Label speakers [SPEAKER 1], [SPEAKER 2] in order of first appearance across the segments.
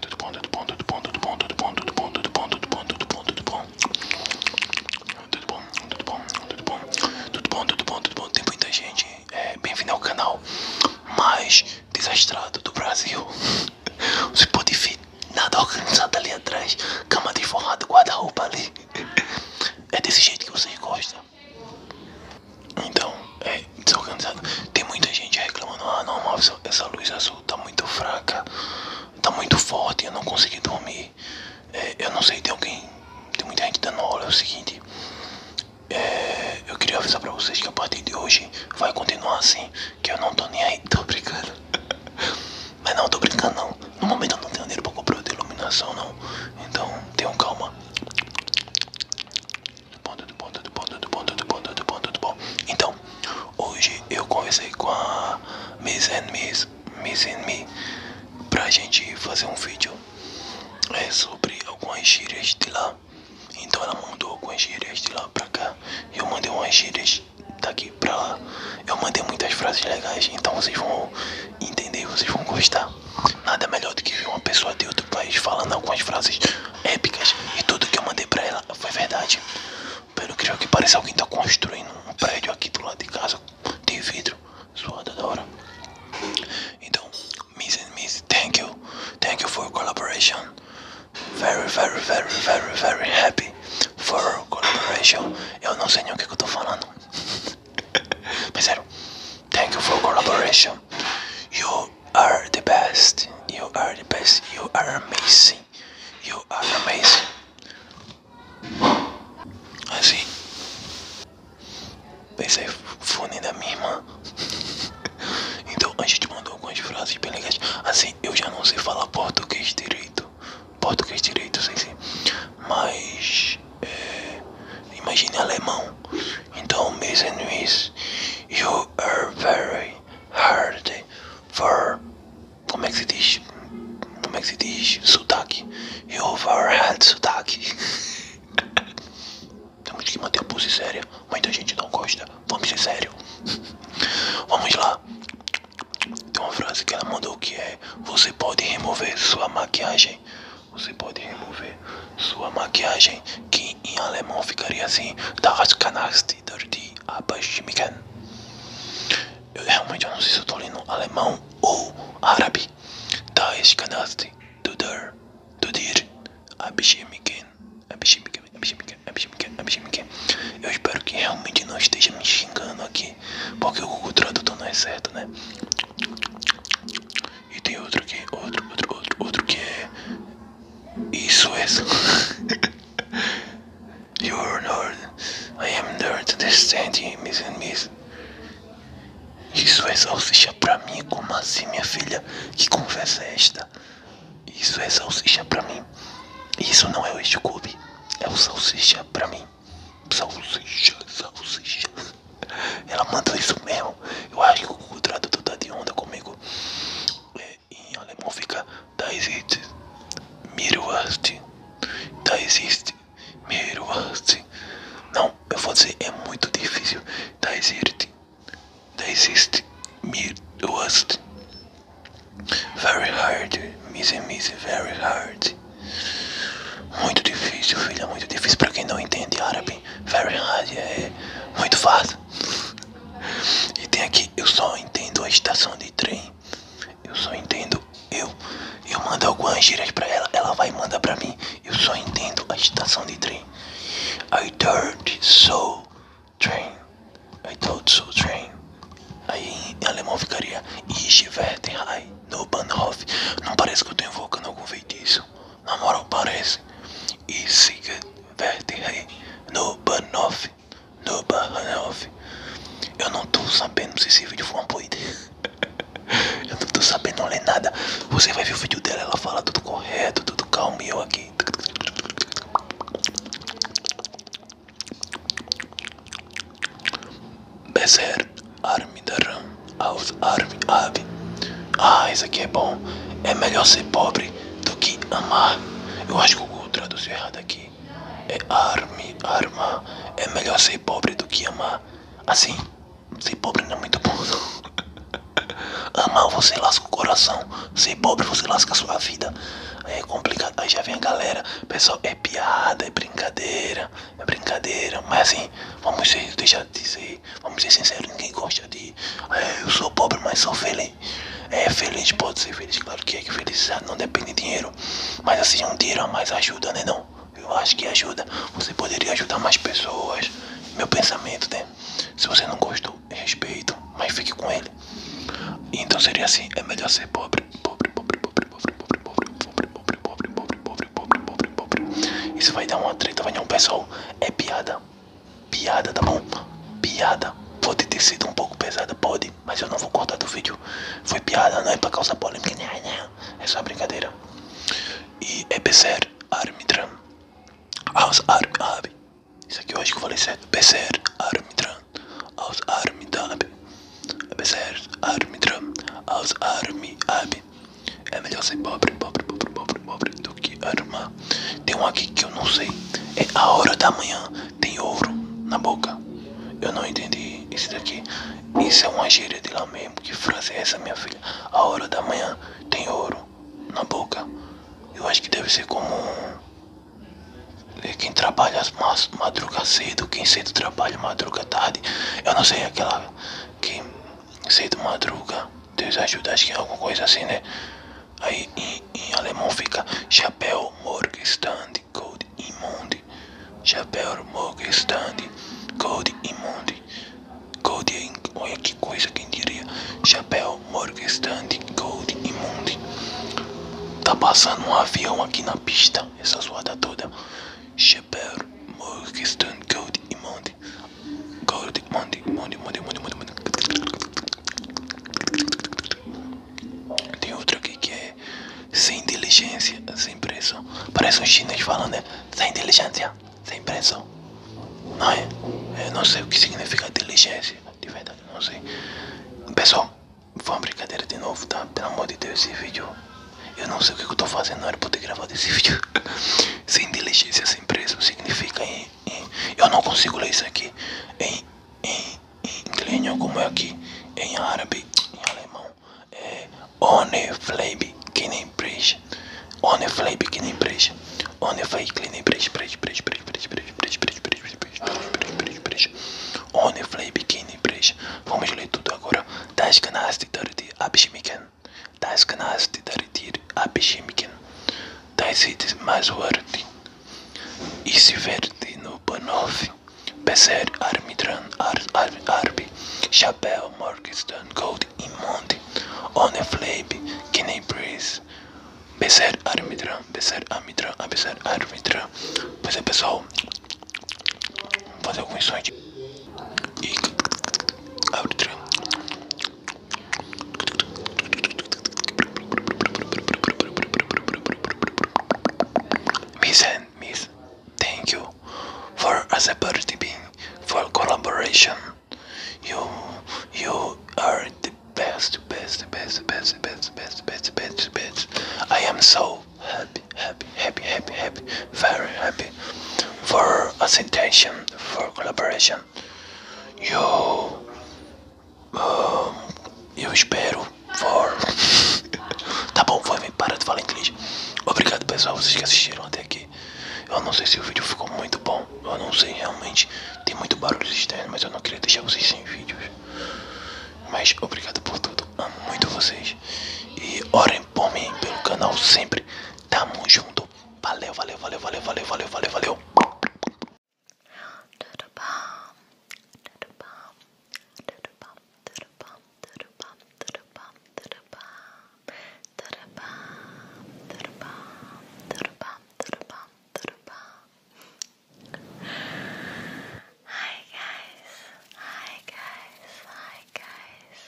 [SPEAKER 1] Tudo bom, tudo bom, tudo bom, tudo bom, tudo bom, tudo bom, tudo bom, tudo bom, tudo bom, tudo bom. Tudo bom, tudo bom, tudo bom. Tudo bom, tudo bom, tudo bom. tudo tudo bom bom Tem muita gente. Bem-vindo ao canal mais desastrado do Brasil. Você pode ver nada organizado ali atrás. Cama de forrado, guarda-roupa ali. É desse jeito que vocês gostam. Então, é desorganizado. Tem muita gente reclamando. Ah, não, mas essa luz azul tá muito fraca, tá muito forte, eu não consegui dormir. É, eu não sei, tem alguém, tem muita gente dando aula, é o seguinte. É, eu queria avisar pra vocês que a partir de hoje vai continuar assim, que eu não tô nem aí, tô brincando. Mas não, tô brincando não. No momento eu não tenho dinheiro pra comprar outra iluminação não. Então tenham calma bom, tudo bom, tudo bom, tudo bom, tudo bom, tudo bom, tudo bom. Então, hoje eu conversei com a Miss and Miss, Miss and Me, pra gente fazer um vídeo é, sobre algumas gírias de lá. Então ela mandou algumas gírias de lá pra cá, eu mandei umas gírias daqui pra lá. Eu mandei muitas frases legais, então vocês vão entender, vocês vão gostar. Nada melhor do que ver uma pessoa de outro país falando algumas frases épicas e tudo que eu mandei pra ela foi verdade. Pelo que que parece alguém tá construindo um prédio aqui pro lado de casa de vidro, zoada da hora. Então, Miss and Miss, thank you, thank you for collaboration. Very, very, very, very, very happy for collaboration. Eu não sei nem o que, eu tô falando. Mas sério, thank you for collaboration. You You are the best. You are the best. You are amazing. You are amazing. Assim. Pensei fone da minha irmã. então a gente mandou algumas frases bem legais. Assim, eu já não sei falar português direito. Português direito, sei sim. Mas. É, imagine alemão. Então, Mason Luiz, you are very hard for. Como é que se diz? Como é que se diz? Sotaque. You overhead sotaque. Temos que manter a pose séria. Muita gente não gosta. Vamos ser sério. Vamos lá. Tem uma frase que ela mandou que é: Você pode remover sua maquiagem. Você pode remover sua maquiagem, que em alemão ficaria assim, das canasti durch die Abstimmungen. Eu realmente não sei se eu tô lendo alemão ou árabe. Das canasti duder, dudir, Abstimmungen. Abstimmungen, Abstimmungen, Abstimmungen, Abstimmungen. Eu espero que realmente não esteja me xingando aqui, porque o Google Tradutor não é certo, né? E tem outro que, outro, outro, outro, outro que é isso é. you are nerd. I am nerd. Understand miss Isso é salsicha pra mim. Como assim, minha filha? Que conversa é esta? Isso é salsicha pra mim. Isso não é o Scooby. É o salsicha pra mim. Salsicha, salsicha. Ela manda isso mesmo. Eu acho que o tradutor tá de onda comigo. É, em alemão fica da tá existe Miroast. Da tá existe Miroast. Não, eu vou dizer, é muito difícil. Da tá existe. Da existe Miroast. Very hard. missy missy, very hard. Muito difícil, filha, muito difícil para quem não entende árabe. Very hard é muito fácil. E tem aqui, eu só entendo a estação de trem. Eu só entendo eu. Eu mando algumas gírias pra ela, ela vai mandar pra mim. Eu só entendo a estação de trem. I thought so train. I thought so train. Aí em alemão ficaria Ich werde high Não parece que eu tô invocando algum feitiço. Na moral, parece. E siga Verterrei, no Banoff, no Baranoff. Eu não tô sabendo se esse vídeo foi uma boa ideia. eu não tô sabendo ler nada. Você vai ver o vídeo dela, ela fala tudo correto, tudo calmo e eu aqui. Bezer, Armidaram, aos Armi, avi ah, isso aqui é bom. É melhor ser pobre do que amar. Eu acho que o Google traduziu errado aqui. É arme, arma. É melhor ser pobre do que amar. Assim, ser pobre não é muito bom. amar você lasca o coração. Ser pobre você lasca a sua vida. Aí é complicado. Aí já vem a galera. Pessoal, é piada, é brincadeira. É brincadeira. Mas assim, vamos deixar dizer vamos ser sinceros, ninguém gosta de. eu sou pobre, mas sou feliz. É feliz, pode ser feliz, claro que é que felicidade não depende de dinheiro. Mas assim, um dinheiro a mais ajuda, né? Não? Eu acho que ajuda. Você poderia ajudar mais pessoas. Meu pensamento, né? Se você não gostou, respeito, mas fique com ele. Então seria assim, é melhor ser pobre. Pobre, pobre, pobre, pobre, pobre, pobre, pobre, pobre, pobre, pobre, pobre, pobre, pobre, pobre. pobre Isso vai dar uma treta, vai dar um pessoal. É piada piada, tá bom? Piada. Pode ter sido um pouco pesada, pode, mas eu não vou cortar do vídeo. Foi piada, não é pra causar polêmica, não, né, não. Né? É só brincadeira. E EBSER é Armitran. Aus Armab. Isso aqui eu acho que eu falei certo. EBSER Armitran. Aus Armidab. EBSER é Armitran. Aus Armidab. É melhor ser pobre, pobre, pobre, pobre, pobre do que armar. Tem um aqui que eu não sei. É a hora da manhã. Tem ouro na boca. Eu não entendi isso daqui. Isso é uma gíria de lá mesmo. Que frase é essa, minha filha? A hora da manhã tem ouro na boca. Eu acho que deve ser como quem trabalha madruga cedo, quem cedo trabalha madruga tarde. Eu não sei é aquela que cedo madruga, Deus ajuda, acho que é alguma coisa assim, né? Aí em, em alemão fica Chapéu Morgenstand Gold Imunde. Chapéu Morgenstand Gold Imunde. Gold, é, olha que coisa, quem diria? Chapéu Morgenstand Gold Imunde. Tá passando um avião aqui na pista, essa zoada toda. Chapéu Morgenstand Gold Imunde. Golden Monday, Monday, Monday, Monday, Monday, Tem outro aqui que é sem diligência, sem pressão. Parece um chinês falando, né? Sem diligência, sem pressão. Não é? Eu não sei o que significa diligência, de verdade, não sei. Pessoal, foi uma brincadeira de novo, tá? Pelo amor de Deus, esse vídeo. Eu não sei o que eu tô fazendo, não era pra ter gravado esse vídeo sem diligência, sem preso significa em, eu não consigo ler isso aqui em, em, em inglês, como é aqui, em árabe, em alemão, é One Flabe que nem breja, One Flabe que nem breja, One Flabe que nem breja, breja, breja, breja, breja, breja, Vamos ler tudo agora. Das Ganasty das canais de Daritir a Bishimkin, das ides mais uarti, e se verde no Banov, Bezer Armitran ar, ar, Arbi, Chapéu Morgenstern Gold e Monte, On a Flabe, Guinea Breeze, Bezer Armitran, Bezer Armitran, ah, Bezer Armitran. Pois é, pessoal, vou fazer alguns sonhos. и аудитория. Miss and Miss, thank you for accepting for collaboration. You, you are the best, best, best, best, best, best, best, best, best. I am so happy, happy, happy, happy, happy, very happy. Skype for ascension, for collaboration. Eu, eu espero for. tá bom, foi, para de falar inglês. Obrigado pessoal, vocês que assistiram até aqui. Eu não sei se o vídeo ficou muito bom, eu não sei realmente. Tem muito barulho externo, mas eu não queria deixar vocês sem vídeos. Mas obrigado por tudo, amo muito vocês. E orem Pomem pelo canal sempre. Tamo junto. Valeu, valeu, valeu, valeu, valeu, valeu, valeu, valeu. Tudo bom? Tudo bom? Tudo bom? Tudo bom? Tudo bom? Tudo bom? Tudo bom? Tudo bom? Tudo bom? Tudo bom? Tudo bom? Tudo bom? Hi guys. Hi guys. Hi guys.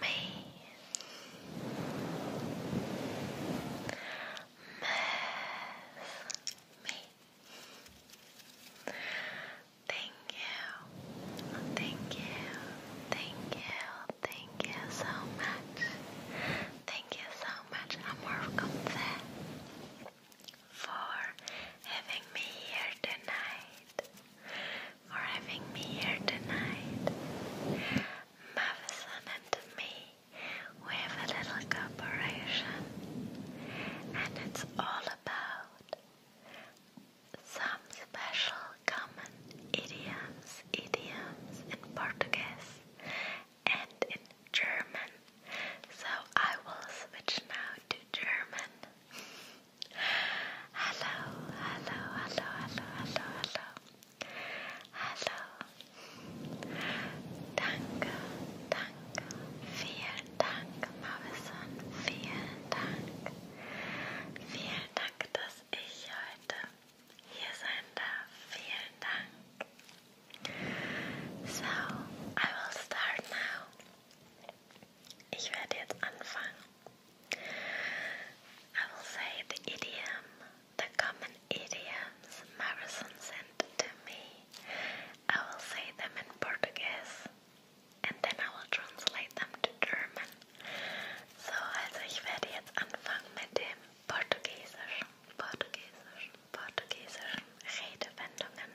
[SPEAKER 2] me. Thank you, thank you, thank you, thank you so much. Thank you so much, amor, come there for having me here tonight. For having me here tonight. Mavison and me, we have a little cooperation, and it's all about some special common idioms, idioms in Portuguese and in German. So I will switch now to German. hello, hello, hello, hello, hello, hello. Hello. Danke, danke. Vielen Dank, Mavison. Vielen Dank. Vielen Dank, dass ich heute hier sein darf. Vielen Dank. So, I will start now. Ich werde jetzt anfangen. I will say the idiom, the common idioms Marison sent to me. I will say them in Portuguese and then I will translate them to German. So, also ich werde jetzt anfangen mit dem Portugiesischen, Portugiesischen, Portugiesischen Redewendungen.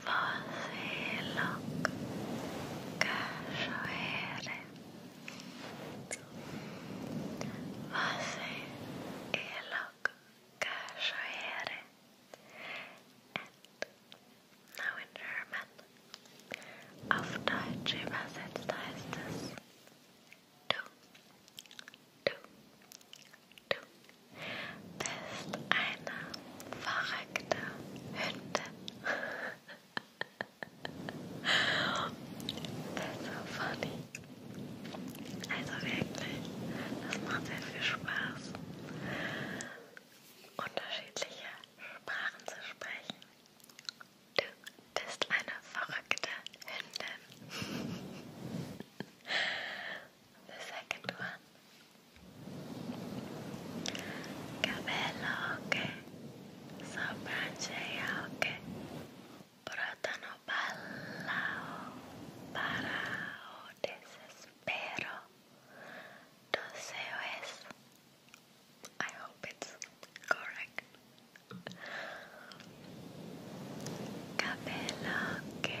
[SPEAKER 2] Vollseelung Cachoeira Vollseelung Cachoeira And now in German Auf Deutsch übersetzt heißt es Du, du, du bist eine verrückte Hündin. That's so funny. Also wirklich, das macht sehr viel Spaß, unterschiedliche Sprachen zu sprechen. Du bist eine verrückte Hündin. The second one Cabello che sopracciglia che portano pallao para desespero. Deseo es. I hope it's correct. Cabello che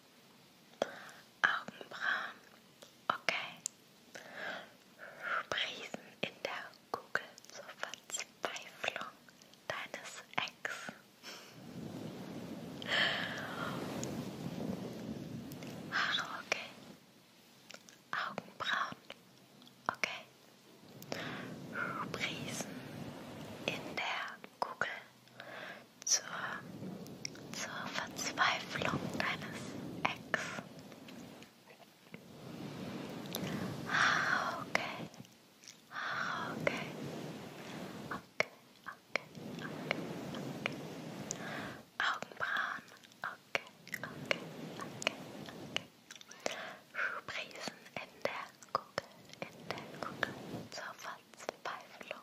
[SPEAKER 2] Augenbrauen, okay. Sprießen in der Kugel zur Verzweiflung deines Ex. Haare, okay. Augenbrauen, okay. Sprießen in der Kugel zur, zur Verzweiflung deines Ex. Ah, okay. Ah, okay. Okay, okay, okay, okay. Augenbrauen. Okay, okay, okay, okay. Sprießen in der Kugel, in der Kugel zur Verzweiflung.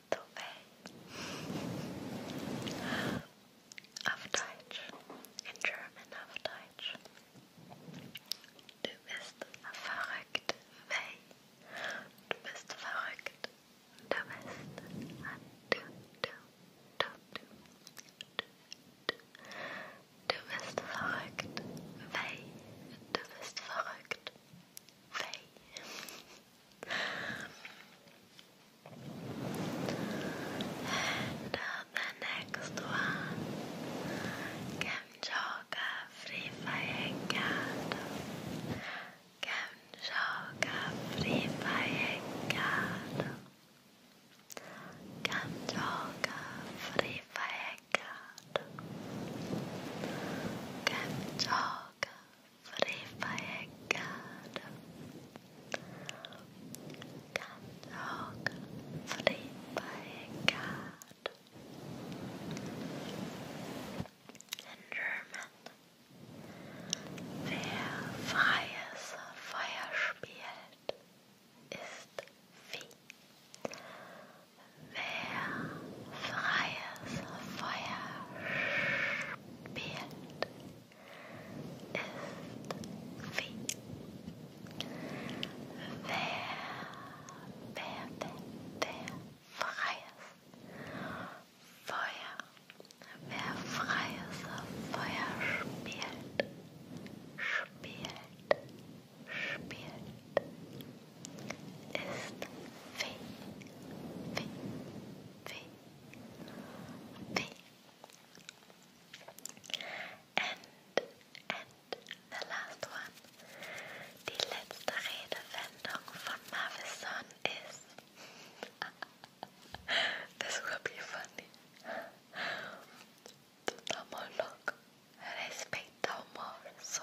[SPEAKER 2] muito bem. Auf Deutsch. In German auf Deutsch. Du bist verrückt, weh. Du bist verrückt. Du bist. Du, du, du, du. Du, du. du bist verrückt, weh. Du bist verrückt. Faye. and uh, the next one, Gamjoga Free Fire Card. Gamjoga Free Fire Card. Gamjoga Free Fire Card. Gamjoga Free Fire Garden. Gandalf, Free Fire Garden. In German. Wer freies Feuer spielt, ist Vieh. Wer freies Feuer spielt, ist wie wer, wer denn der freies Feuer, wer freies Feuer spielt, spielt, spielt. And, the last one. Die letzte Redewendung von Mavison ist. this will be funny. Tomolog, respecta o morso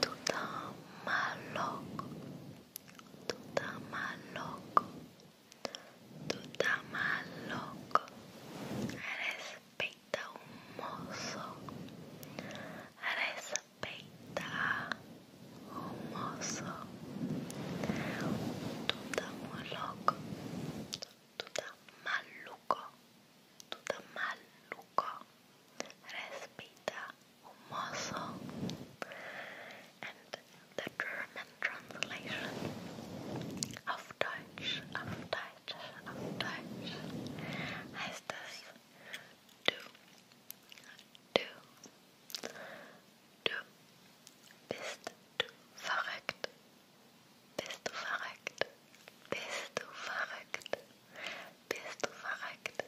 [SPEAKER 2] Tutamalok, Tutamalok, Tutamalok, respeita o moço, respeita o moço, Tutamalok, Tutamalok. Tuta maluco, Respira humoso and the German translation auf Deutsch, auf Deutsch, auf Deutsch heißt das du, du, du, bist du verrückt, bist du verrückt, bist du verrückt. Bist du verrückt?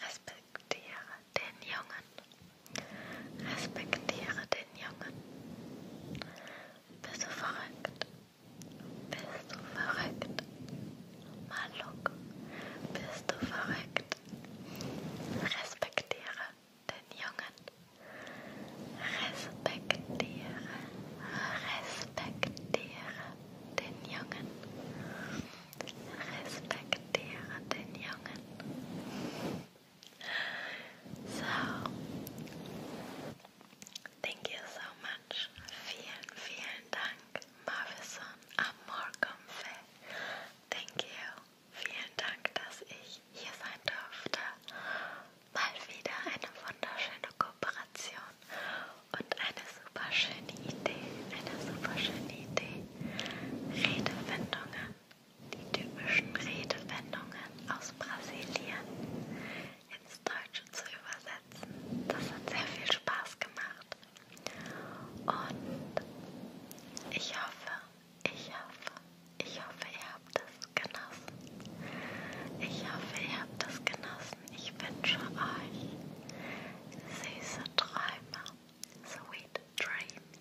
[SPEAKER 2] Respektiere den Jungen. Respektiere den Jungen. Bist du verrückt? Bist du verrückt? Maluk, bist du verrückt? Respektiere den Jungen. Respektiere, respektiere, den Jungen. Respektiere den Jungen. So, thank you so much. Vielen, vielen Dank, Marvison Amorkomfe. Thank you. Vielen Dank, dass ich hier sein durfte. Mal wieder eine wunderschöne Kooperation und eine super schöne Idee, eine super schöne Idee. Redewendungen, die typischen Redewendungen aus Brasilien ins Deutsche zu übersetzen. Das hat sehr viel Spaß gemacht. Und ich hoffe, ich hoffe, ich hoffe, ihr habt das genossen. Ich hoffe, ihr habt das genossen. Ich wünsche euch süße Träume, sweet dreams,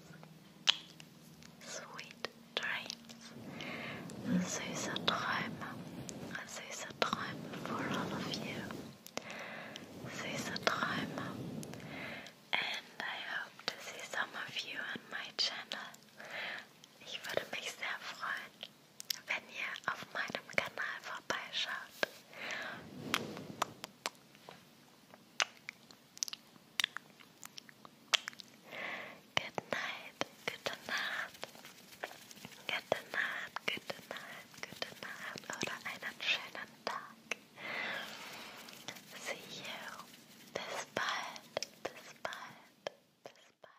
[SPEAKER 2] sweet dreams, süße Träume, for all of you, süße Träume, and I hope to see some of you on my channel. Ich würde mich sehr freuen. wenn ihr auf meinem Kanal vorbeischaut. Good night, gute Nacht, gute Nacht, gute Nacht, gute Nacht oder einen schönen Tag. See you. Bis bald, bis bald, bis bald.